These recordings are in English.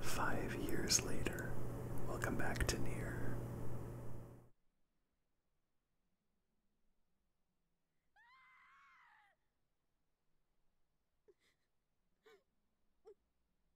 Five years later, Welcome back to near.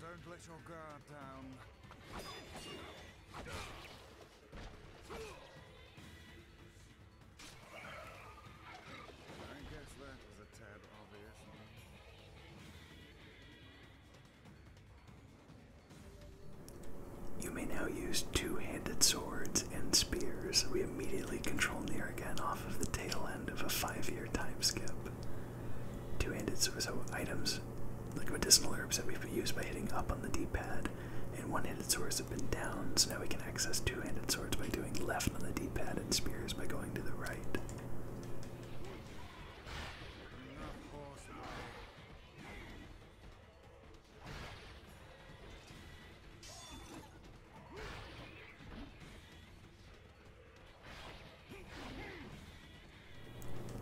don't let your guard down. I guess that was a tad obvious. You may now use two-handed swords and spears. We immediately control Near again off of the tail end of a five-year time skip. Two-handed swords are items like medicinal herbs that we've used by hitting up on the D-pad and one-handed swords have been down, so now we can access two-handed swords by doing left on the D-pad and spears by going to the right.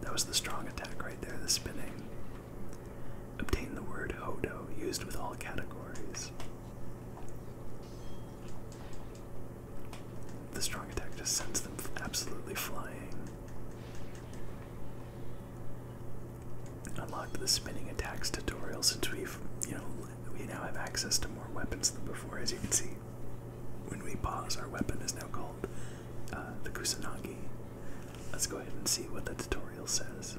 That was the strong attack right there, the spinning. Obtain the word Hodo, used with all categories. The strong attack just sends them absolutely flying. Unlocked the spinning attacks tutorial since we've, you know, we now have access to more weapons than before, as you can see. When we pause, our weapon is now called uh, the Kusanagi. Let's go ahead and see what the tutorial says.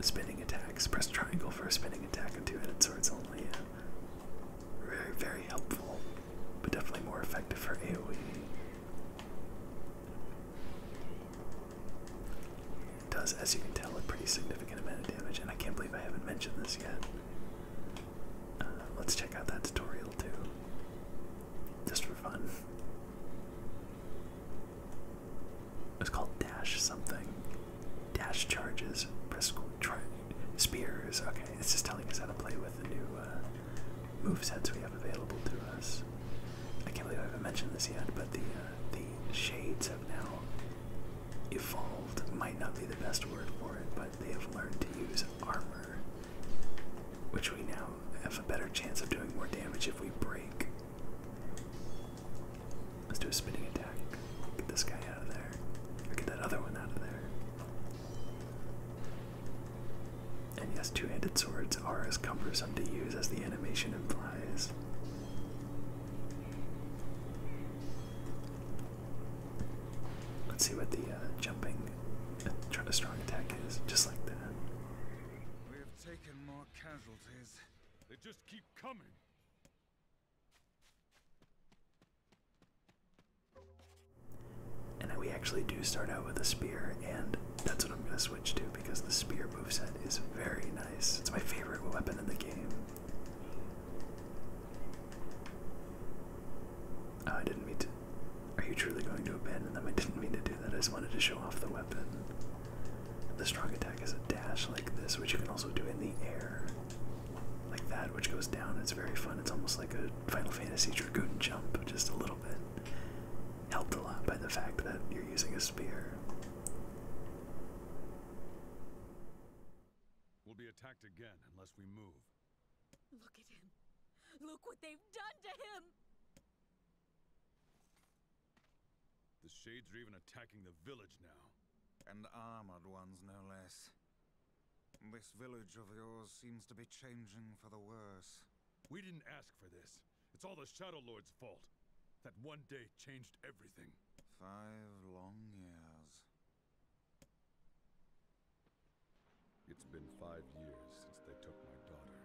Spinning attacks. Press triangle for a spinning attack and two-headed swords only. Yeah. Very, very helpful, but definitely more effective for AoE. It does, as you can tell, a pretty significant amount of damage, and I can't believe I haven't mentioned this yet. Uh, let's check out that tutorial too, just for fun. It's called dash something. Dash charges, bristle, spears. Okay, it's just telling us how to play with the new uh, move sets we have available to us. I can't believe I haven't mentioned this yet, but the uh, the shades have now evolved. Might not be the best word for it, but they have learned to use armor, which we now have a better chance of doing more damage if we break. Let's do a spinning attack. Get this guy out of there. get that other one out of there. And yes, two handed swords are as cumbersome to use as the animation implies. Let's see what the uh, jumping uh, try to strong attack is, just like that. We have taken more casualties. They just keep coming. And we actually do start out with a spear and that's what I'm gonna switch to because the spear moveset is very nice. It's my favorite weapon in the game. Oh, I didn't mean to. Are you truly going to abandon them? I didn't mean to do that. I just wanted to show off the weapon. The strong attack is a dash like this, which you can also do in the air. Like that, which goes down. It's very fun. It's almost like a Final Fantasy Dragoon jump, just a little bit. Helped a lot by the fact that you're using a spear. We'll be attacked again unless we move. Look at him. Look what they've done to him! The Shades are even attacking the village now. And the armored ones, no less. This village of yours seems to be changing for the worse. We didn't ask for this. It's all the Shadow Lord's fault. That one day changed everything. Five long years. It's been five years since they took my daughter.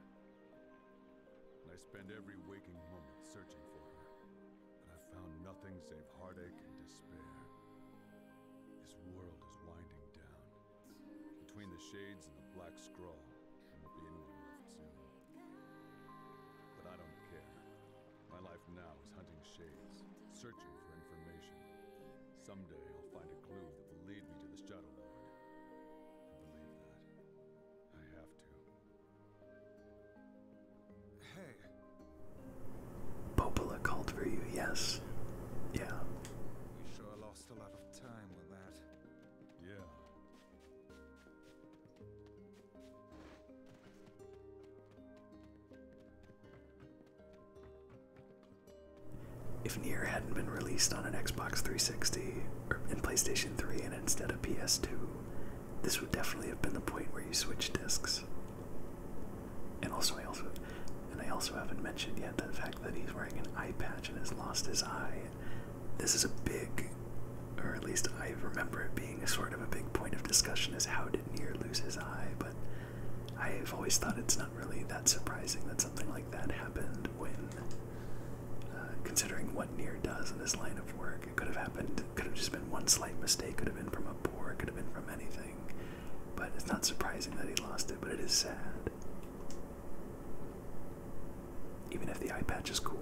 And I spend every waking moment searching for her. And I've found nothing save heartache and despair. This world is winding down. Between the shades and the black scroll, there will be anyone left soon. My life now is hunting shades, searching for information. Someday I'll find a clue that will lead me to the Shadow Lord. Hey! Popola called for you, yes. Yeah. We sure lost a lot of time with that. Yeah. If Nier hadn't been released on an Xbox 360 or in PlayStation 3 and instead of PS2, this would definitely have been the point where you switch discs. And also, I also, and I also haven't mentioned yet the fact that he's wearing an eye patch and has lost his eye, this is a big, or at least I remember it being a sort of a big point of discussion is how did Nier lose his eye, but I've always thought it's not really that surprising that something like that happened when, uh, considering what Nier does in his line of work, it could have happened, could have just been one slight mistake, could have been from a bore, could have been from anything, but it's not surprising that he lost it, but it is sad. Even if the eye patch is cool,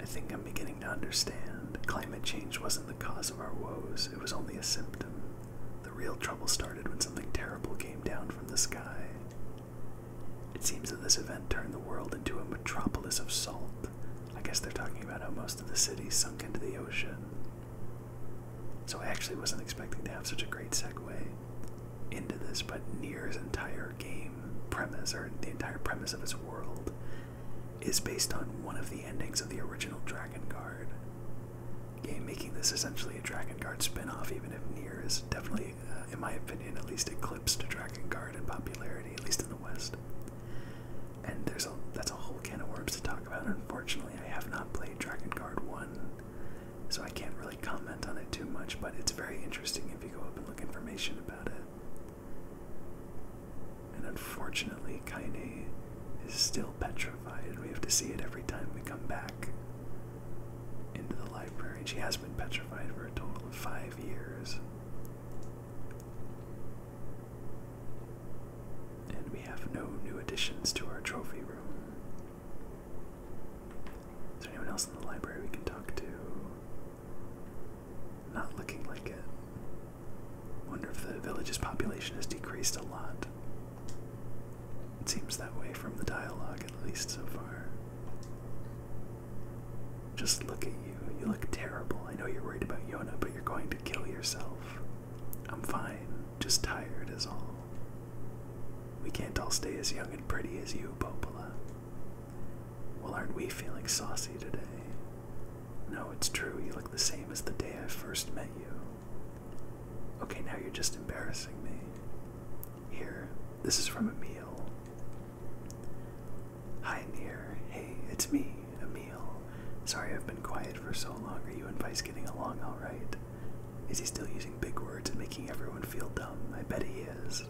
I think I'm beginning to understand. Climate change wasn't the cause of our woes, it was only a symptom. The real trouble started when something terrible came down from the sky. It seems that this event turned the world into a metropolis of salt. I guess they're talking about how most of the city sunk into the ocean. So I actually wasn't expecting to have such a great segue into this, but Near's entire game premise, or the entire premise of his world, is based on one of the endings of the original Dragon Guard game, making this essentially a Dragon Guard spin-off, even if Near is definitely, uh, in my opinion, at least eclipsed Dragon Guard in popularity, at least in the West. And there's a that's a whole can of worms to talk about. Unfortunately, I have not played Dragon Guard 1 so I can't really comment on it too much, but it's very interesting if you go up and look information about it. And unfortunately, Kaine is still petrified, and we have to see it every time we come back into the library. She has been petrified for a total of five years. And we have no new additions to our trophy room. Is there anyone else in the library we can talk to? Not looking like it. Wonder if the village's population has decreased a lot. It seems that way from the dialogue, at least so far. Just look at you. You look terrible. I know you're worried about Yona, but you're going to kill yourself. I'm fine. Just tired is all. We can't all stay as young and pretty as you, Popola. Well, aren't we feeling saucy today? No, it's true, you look the same as the day I first met you. Okay, now you're just embarrassing me. Here, this is from Emil. Hi, Near. Hey, it's me, Emil. Sorry I've been quiet for so long. Are you and Vice getting along alright? Is he still using big words and making everyone feel dumb? I bet he is.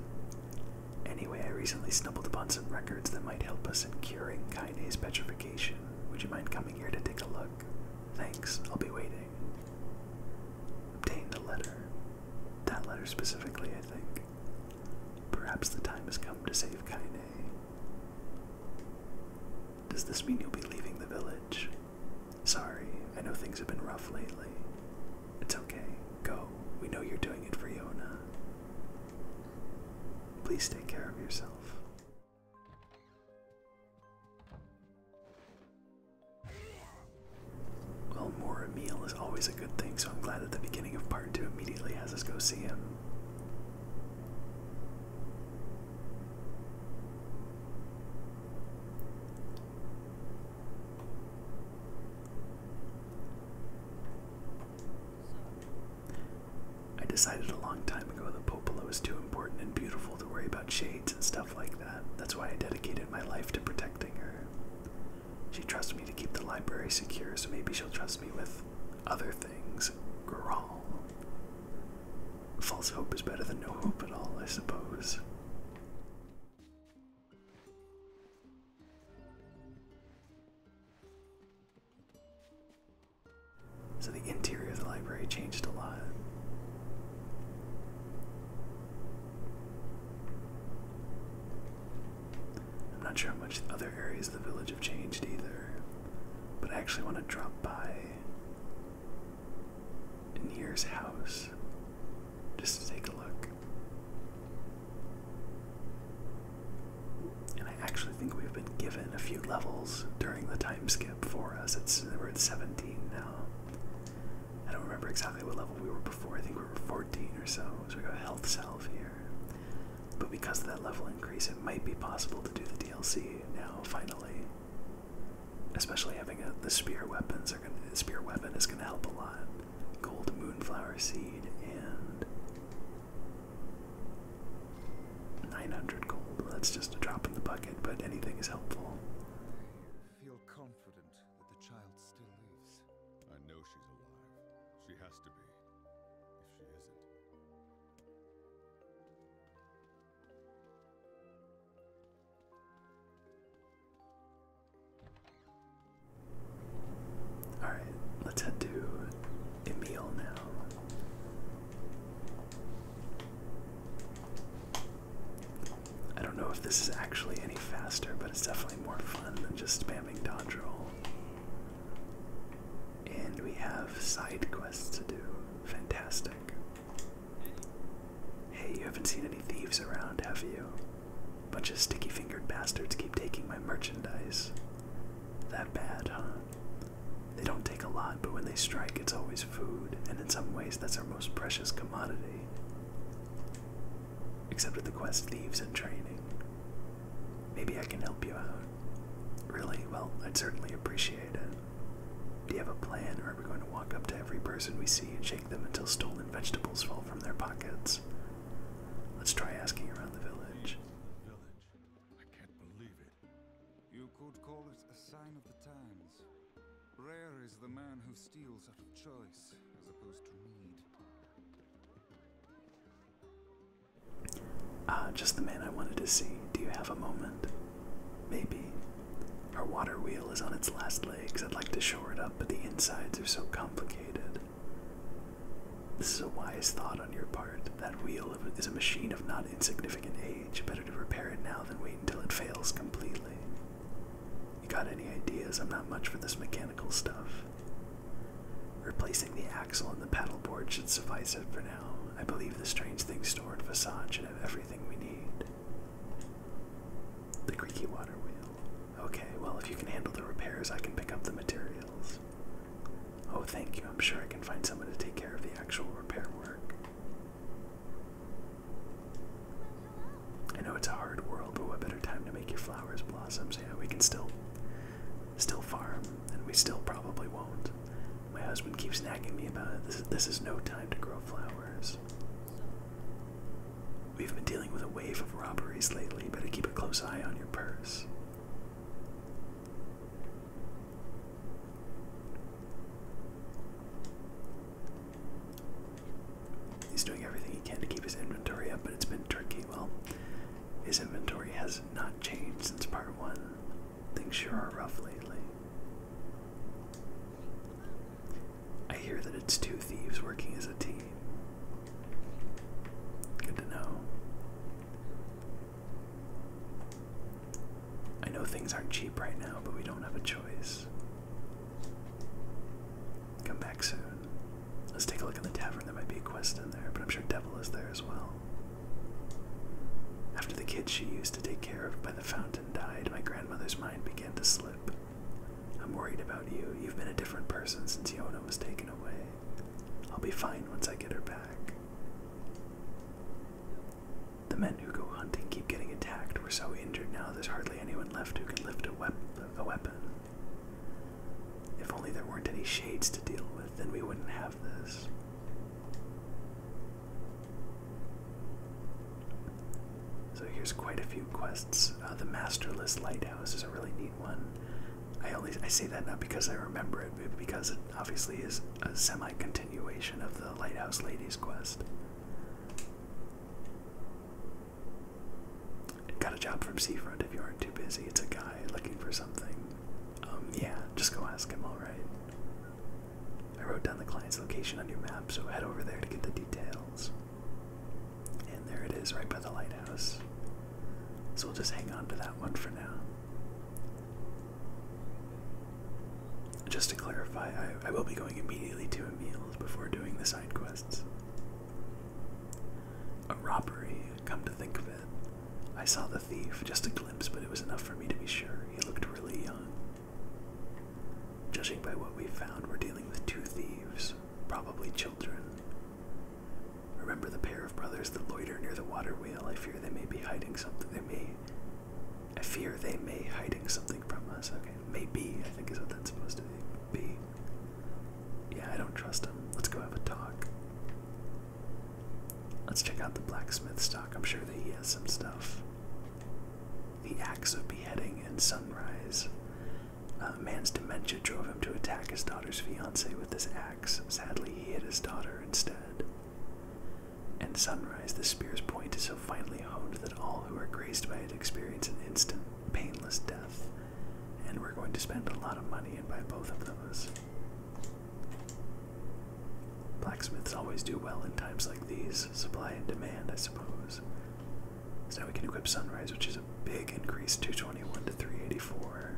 Anyway, I recently stumbled upon some records that might help us in curing kinase petrification. Would you mind coming here to take a look? Thanks, I'll be waiting. Obtained a letter. That letter specifically, I think. Perhaps the time has come to save Kaine. Does this mean you'll be leaving the village? Sorry, I know things have been rough lately. It's okay. Go. We know you're doing it for Yona. Please take care of yourself. Well, more meal is always a good thing, so I'm glad that the beginning of part two immediately has us go see him. I decided a long time ago that Popolo is too important and beautiful to worry about shades and stuff like that. That's why I dedicated my life to protecting her. She trusts me to keep the library secure, so maybe she'll trust me with other things. Girl. False hope is better than no hope at all, I suppose. So the interior of the library changed a lot. I'm not sure how much other areas of the village have changed either, but I actually want to drop by Nier's house just to take a look. And I actually think we've been given a few levels during the time skip for us. It's we're at 17 now. I don't remember exactly what level we were before. I think we were 14 or so. So we got health salve here. But because of that level increase, it might be possible to do the DLC now, finally. Especially having a, the spear weapons are the spear weapon is going to help a lot. Gold moonflower seed and 900 gold. That's just a drop in the bucket, but anything is helpful. I feel confident that the child still lives. I know she's alive. She has to be. If she isn't. Alright, let's head to Emil now. I don't know if this is actually any faster, but it's definitely more fun than just spamming dodge roll. And we have side quests to do. Fantastic. Hey, you haven't seen any thieves around, have you? Bunch of sticky fingered bastards keep taking my merchandise. That bad, huh? They don't take a lot, but when they strike, it's always food, and in some ways, that's our most precious commodity. Except at the quest Thieves in Training. Maybe I can help you out. Really? Well, I'd certainly appreciate it. Do you have a plan, or are we going to walk up to every person we see and shake them until stolen vegetables fall from their pockets? Let's try asking around the village. village. I can't believe it. You could call it a sign of the times. Rare is the man who steals out of choice, as opposed to need. Ah, just the man I wanted to see. Do you have a moment? Maybe. Our water wheel is on its last legs. I'd like to shore it up, but the insides are so complicated. This is a wise thought on your part. That wheel is a machine of not insignificant age. Better to repair it now than wait until it fails completely. You got any ideas? I'm not much for this mechanical stuff. Replacing the axle and the board should suffice it for now. I believe the strange thing stored facade should have everything we need. The creaky water wheel. Okay, well, if you can handle the repairs, I can pick up the materials. Oh, thank you. I'm sure I can find someone to take care of the actual repair work. I know it's a hard world, but what better time to make your flowers blossom? yeah, we can still, still farm, and we still probably won't. My husband keeps nagging me about it. This, this is no time to grow flowers. We've been dealing with a wave of robberies lately. Better keep a close eye on your purse. He's doing everything he can to keep his inventory up, but it's been tricky. Well, his inventory has not changed since part one. Things sure are rough lately. I hear that it's two thieves working as a team. Good to know. I know things aren't cheap right now, but we don't have a choice. Come back soon. Let's take a look in the tavern. There might be a quest in there, but I'm sure Devil is there as well. After the kid she used to take care of by the fountain died, my grandmother's mind began to slip. I'm worried about you. You've been a different person since Yona was taken away. I'll be fine once I get her back. The men who go hunting keep getting attacked. We're so injured now there's hardly anyone left who can lift a, weapon. If only there weren't any shades to deal with, then we wouldn't have this. So here's quite a few quests. Uh, the Masterless Lighthouse is a really neat one. I only I say that not because I remember it, but because it obviously is a semi-continuation of the Lighthouse Lady's quest. Got a job from Seafront if you aren't too busy. It's a guy looking for something. Um, yeah, just go ask him, alright. I wrote down the client's location on your map, so head over there to get the details. And there it is, right by the lighthouse. So we'll just hang on to that one for now. Just to clarify, I, will be going immediately to Emil's before doing the side quests. A robbery, come to think of it. I saw the thief, just a glimpse, but it was enough for me to be sure. He looked really young. Judging by what we found, we're dealing with two thieves, probably children. Remember the pair of brothers that loiter near the water wheel? I fear they may be hiding something. They may. I fear they may hiding something from us. Okay, maybe I think is what that's supposed to be. Yeah, I don't trust him. Let's go have a talk. Let's check out the blacksmith stock. I'm sure that he has some stuff. The axe of beheading and sunrise. A man's dementia drove him to attack his daughter's fiance with his axe. Sadly, he hit his daughter instead. And sunrise, the spear's point is so finely honed that all who are graced by it experience an instant, painless death. And we're going to spend a lot of money and buy both of those. Blacksmiths always do well in times like these, supply and demand, I suppose. now we can equip Sunrise, which is a big increase 221 to 384.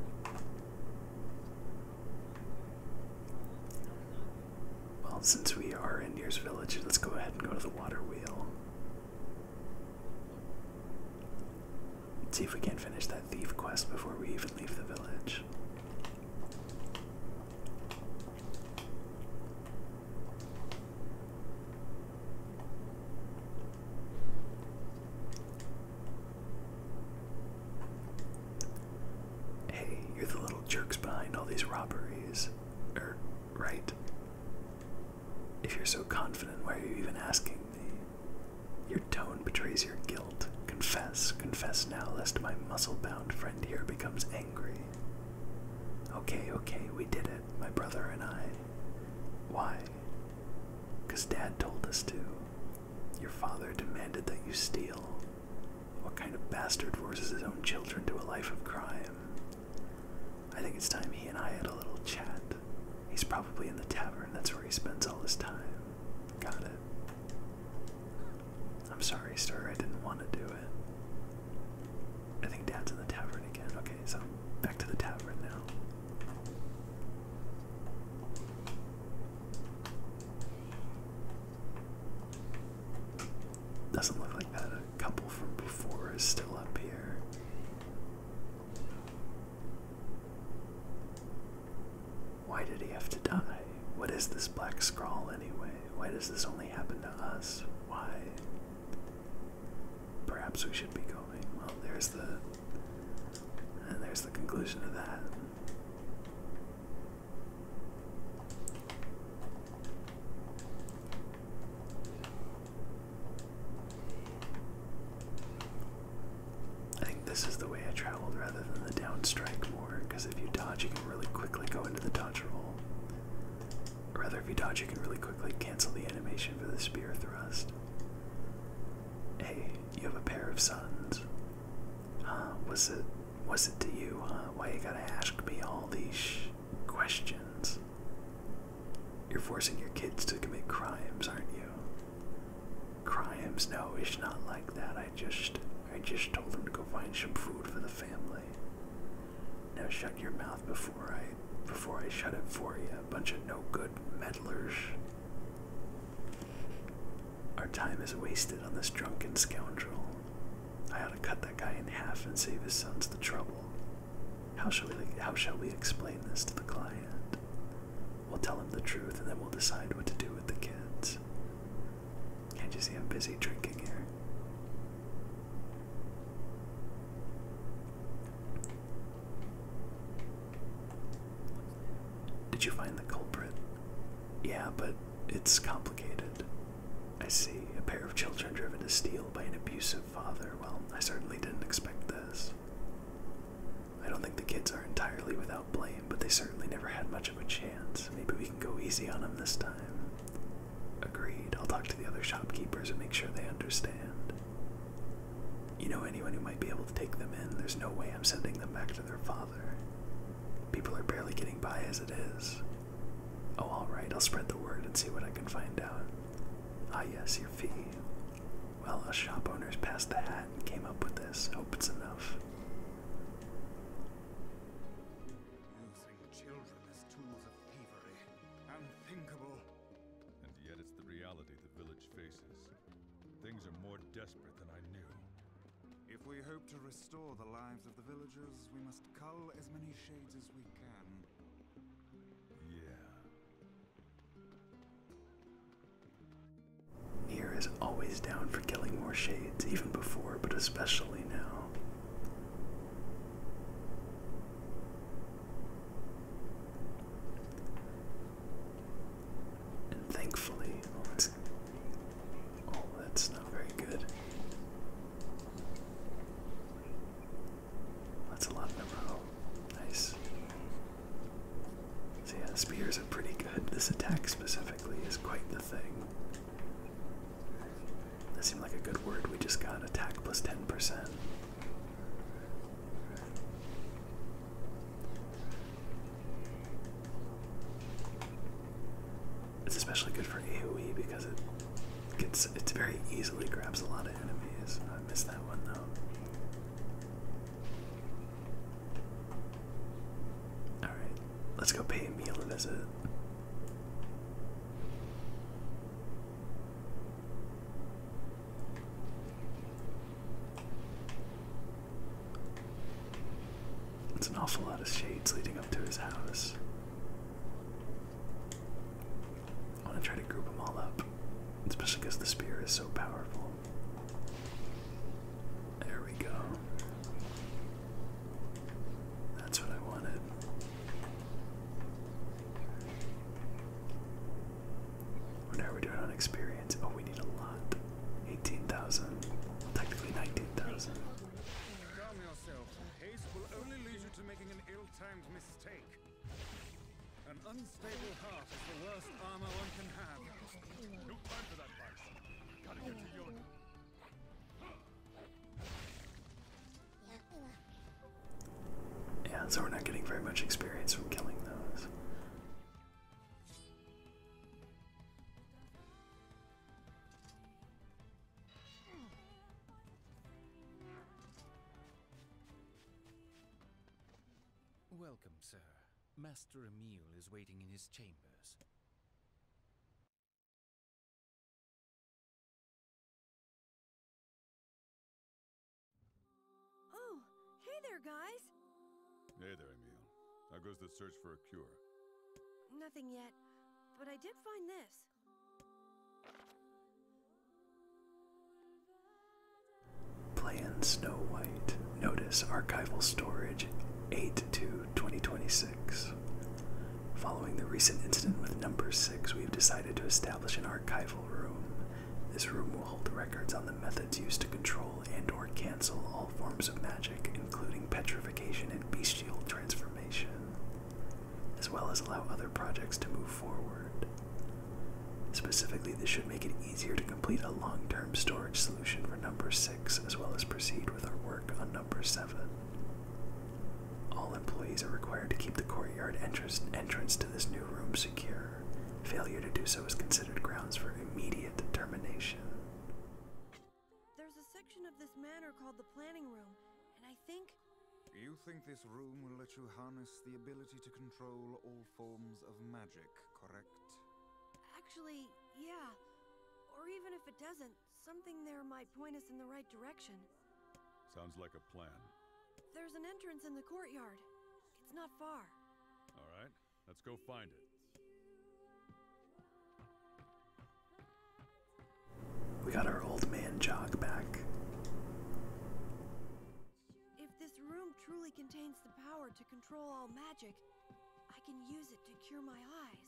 Well, since we are in Deer's Village, let's go ahead and go to the water wheel. see if we can finish that thief quest before we even leave the village. Hey, you're the little jerks behind all these robberies, er, right? If you're so confident, why are you even asking me? Your tone betrays your guilt. Confess, confess now, lest my muscle bound friend here becomes angry. Okay, okay, we did it, my brother and I. Why? Because Dad told us to. Your father demanded that you steal. What kind of bastard forces his own children to a life of crime? I think it's time he and I had a little chat. He's probably in the tavern, that's where he spends all his time. Got it. I'm sorry, sir, I didn't want to do it. I think Dad's in the tavern again. Okay, so back to the tavern now. Doesn't look like that. A couple from before is still up here. Why did he have to die? What is this black scrawl anyway? Why does this only happen to us? Why? Perhaps we should be going. Well, there's the. And there's the conclusion of that. I think this is the way I traveled rather than the down strike more, because if you dodge, you can really quickly go into the dodge roll. rather, if you dodge, you can really quickly cancel the animation for the spear thrust. Hey, you have a pair of sons. Huh? Was it? Was it to you? Why you gotta ask me all these questions? You're forcing your kids to commit crimes, aren't you? Crimes? No, it's not like that. I just I just told him to go find some food for the family. Now shut your mouth before I before I shut it for you, a bunch of no good meddlers. Our time is wasted on this drunken scoundrel. I ought to cut that guy in half and save his sons the trouble. How shall we how shall we explain this to the client? We'll tell him the truth and then we'll decide what to do with the kids. Can't you see I'm busy drinking here? Did you find the culprit? Yeah, but it's complicated. I see. A pair of children driven to steal by an abusive father. Well, I certainly didn't expect this. I don't think the kids are entirely without blame, but they certainly never had much of a chance. Maybe we can go easy on them this time. Agreed. I'll talk to the other shopkeepers and make sure they understand. You know anyone who might be able to take them in? There's no way I'm sending them back to their father. People are barely getting by as it is. Oh, alright, I'll spread the word and see what I can find out. Ah, yes, your fee. Well, us shop owners passed the hat and came up with this. Hope it's enough. Using children as tools of thievery. Unthinkable. And yet it's the reality the village faces. Things are more desperate than I knew. If we hope to restore the lives of the villagers, we must cull as many shades as we can. Yeah. Nier is always down for killing more shades, even before, but especially now. And thankfully, oh that's, oh, not very good. That's a lot in a oh, Nice. So yeah, spears are pretty good. This attack specifically is quite the thing. That seemed like a good word. We just got attack plus 10%. It's especially good for AoE because it gets it very easily grabs a lot of enemies. I missed that one though. Alright, let's go pay Emil a visit. It's an awful lot of shades leading up to his house. I want to try to group them all up, especially because the spear is so powerful. There we go. That's what I wanted. What are we doing on experience? Oh, we need a lot. 18,000. technically 19,000. Calm yourself. Haste will only lead you to making an ill-timed mistake. An unstable heart is the worst armor one can have. No time for that, Vice. Yeah, so we're not getting very much experience from killing those. Welcome, sir. Master Emile is waiting in his chambers. Oh, hey there, guys! Hey there, Emile. How goes the search for a cure? Nothing yet, but I did find this. Plan Snow White. Notice archival storage 8 to 2026. Following the recent incident with number 6, we have decided to establish an archival room. This room will hold records on the methods used to control and or cancel all forms of magic, including petrification and bestial transformation, as well as allow other projects to move forward. Specifically, this should make it easier to complete a long-term storage solution for number 6 as well as proceed with our work on number seven. All employees are required to keep the courtyard entrance to this new room secure. Failure to do so is considered grounds for immediate termination. There's a section of this manor called the planning room, and I think. You think this room will let you harness the ability to control all forms of magic, correct? Actually, yeah. Or even if it doesn't, something there might point us in the right direction. Sounds like a plan. There's an entrance in the courtyard. It's not far. All right, let's go find it. We got our old man Jog back. If this room truly contains the power to control all magic, I can use it to cure my eyes.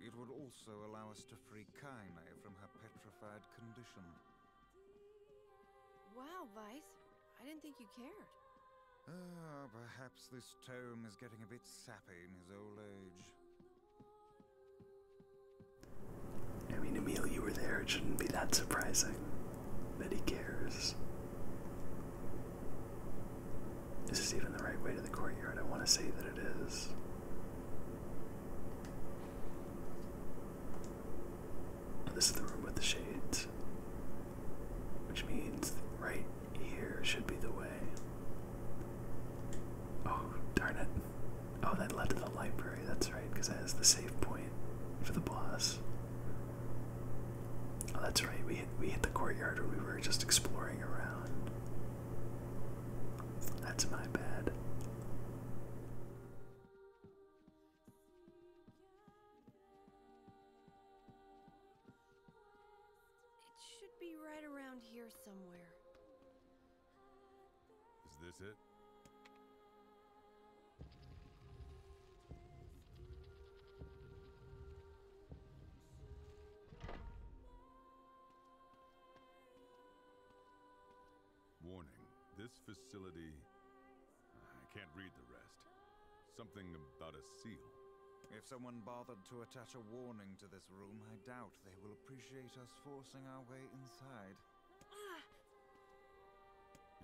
It would also allow us to free Kaine from her petrified condition. Wow, Vice. I didn't think you cared. Ah, perhaps this tome is getting a bit sappy in his old age. I mean, Emil, you were there. It shouldn't be that surprising that he cares. Is this even the right way to the courtyard? I want to say that it is. This is the room with the shades, which means right here should be the way. Oh, darn it. Oh, that led to the library, that's right, because that is the safe point for the boss. Oh, that's right. We hit, we hit the courtyard where we were just exploring around. That's my bad. It should be right around here somewhere. Is this it? Warning, this facility... I can't read the rest. Something about a seal. If someone bothered to attach a warning to this room, I doubt they will appreciate us forcing our way inside. Ah!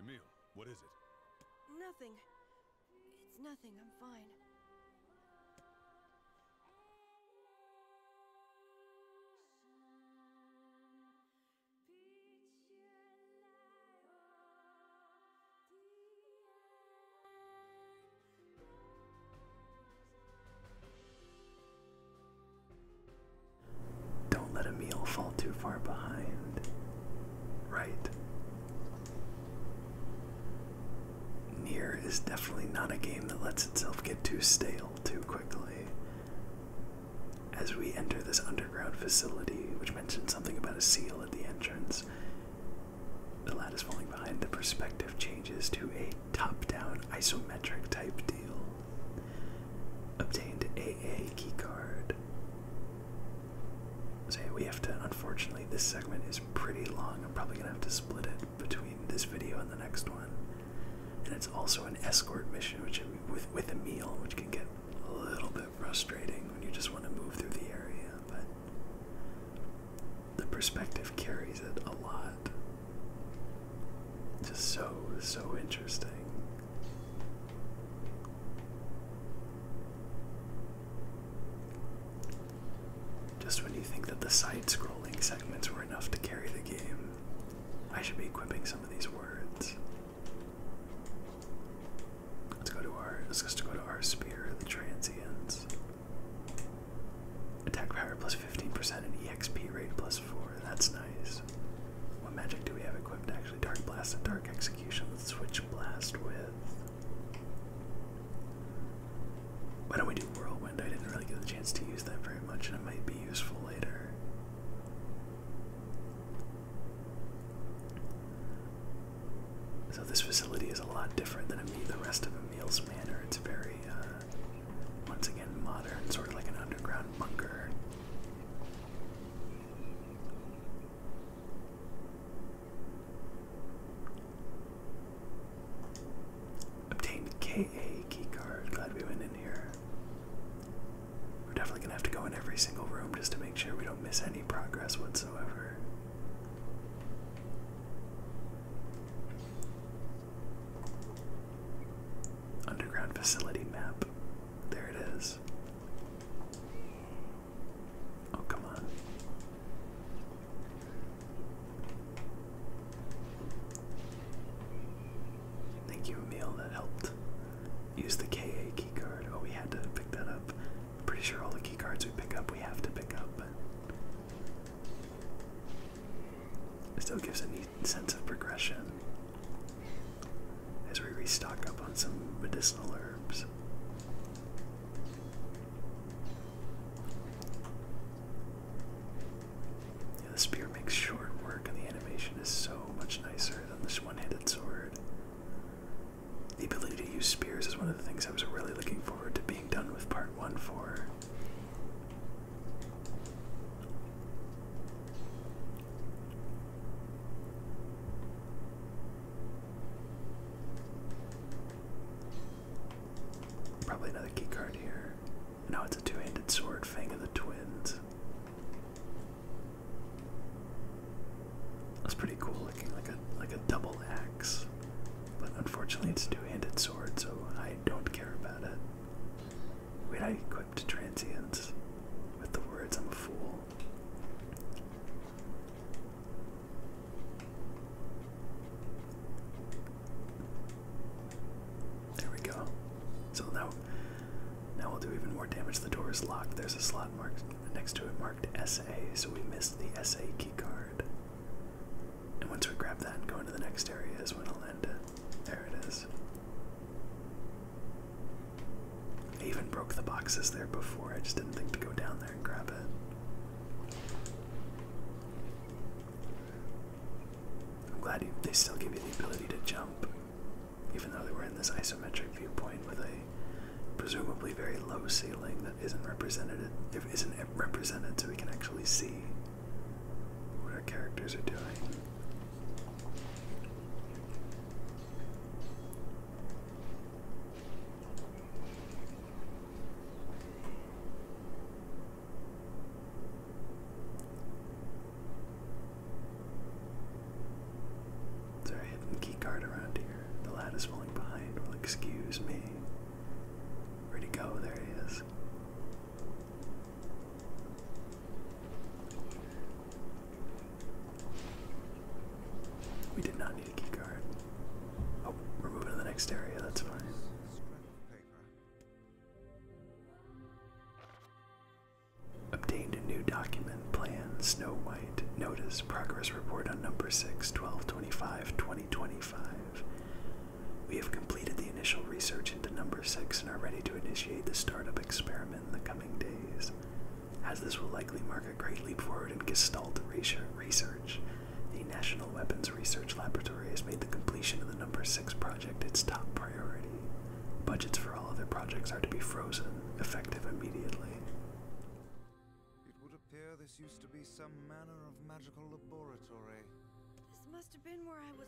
Emil, what is it? Nothing. It's nothing, I'm fine. Don't let a meal fall too far behind right? Near is definitely not a game that lets itself get too stale too quickly. As we enter this underground facility, which mentioned something about a seal at the entrance, the ladder is falling behind. The perspective changes to a top down isometric type deal. Obtained AA keycard say we have to unfortunately this segment is pretty long i'm probably gonna have to split it between this video and the next one and it's also an escort mission which with with a meal which can get a little bit frustrating when you just want to move through the area but the perspective carries it a lot just so so interesting just when you think that the side scrolling segments were enough to carry the game, I should be equipping some of these words. Let's go to our let's just go to our spear, the transients. Attack power plus 15% and EXP rate plus 4. That's nice. What magic do we have equipped actually? Dark Blast and Dark X Switch Blast with. Why don't we do Whirlwind? I didn't really get the chance to use that very much, and it might be useful later. So, this facility is a lot different than the rest of Emile's Manor. It's very, uh, once again, modern, sort of like an underground bunker. Obtained KA keycard. Glad we went in here. We're definitely gonna have to go in every single room just to make sure we don't miss any progress whatsoever. Underground facility map. There it is. Oh, come on. Thank you, Emil, that helped. Use the KA keycard. Oh, we had to pick that up. pretty sure all the keycards we pick up, we have to pick up, It still gives a neat sense of progression as we restock up on some medicinal herbs. the spear makes short work, and the animation is so much nicer than this one handed sword. The ability to use spears is one of the things I was really looking forward to being done with part one for. Probably another key card here. No, it's a two-handed sword, Fang of the Twins. That's pretty cool looking, like a like a double axe. But unfortunately it's a two-handed sword, so I don't care about it. Wait, I equipped transients with the words I'm a fool. There we go. So now, now we'll do even more damage. The door is locked. There's a slot marked next to it marked SA, so we missed the SA key card. And once we grab that and go into the next area is when I'll end There it is. I even broke the boxes there before. I just didn't think to go down there and grab it. I'm glad they still give you the ability to jump, even though they were in this isometric viewpoint with a presumably very low ceiling that isn't represented. If not represented, so we can actually see what our characters are doing. Sorry, I have a key card around here. The lad is falling behind. Will excuse me. Ready to go? There he is. We did not need a key card. Oh, we're moving to the next area, that's fine. Obtained a new document, plan, Snow White, notice, progress report on number 6, 1225, 2025. We have completed the initial research into number 6 and are ready to initiate the startup experiment in the coming days as this will likely mark a great leap forward in Gestalt research. The National Weapons Research Laboratory has made the completion of the number 6 project its top priority. Budgets for all other projects are to be frozen, effective immediately. It would appear this used to be some manner of magical laboratory. This must have been where I was.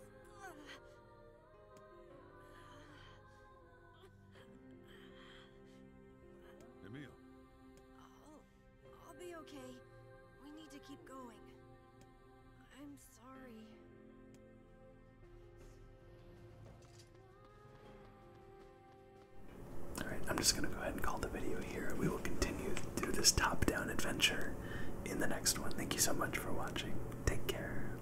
Emil. I'll, I'll be okay. We need to keep going. I'm sorry. Alright, I'm just going to go ahead and call the video here. We will continue through this top down adventure in the next one. Thank you so much for watching. Take care.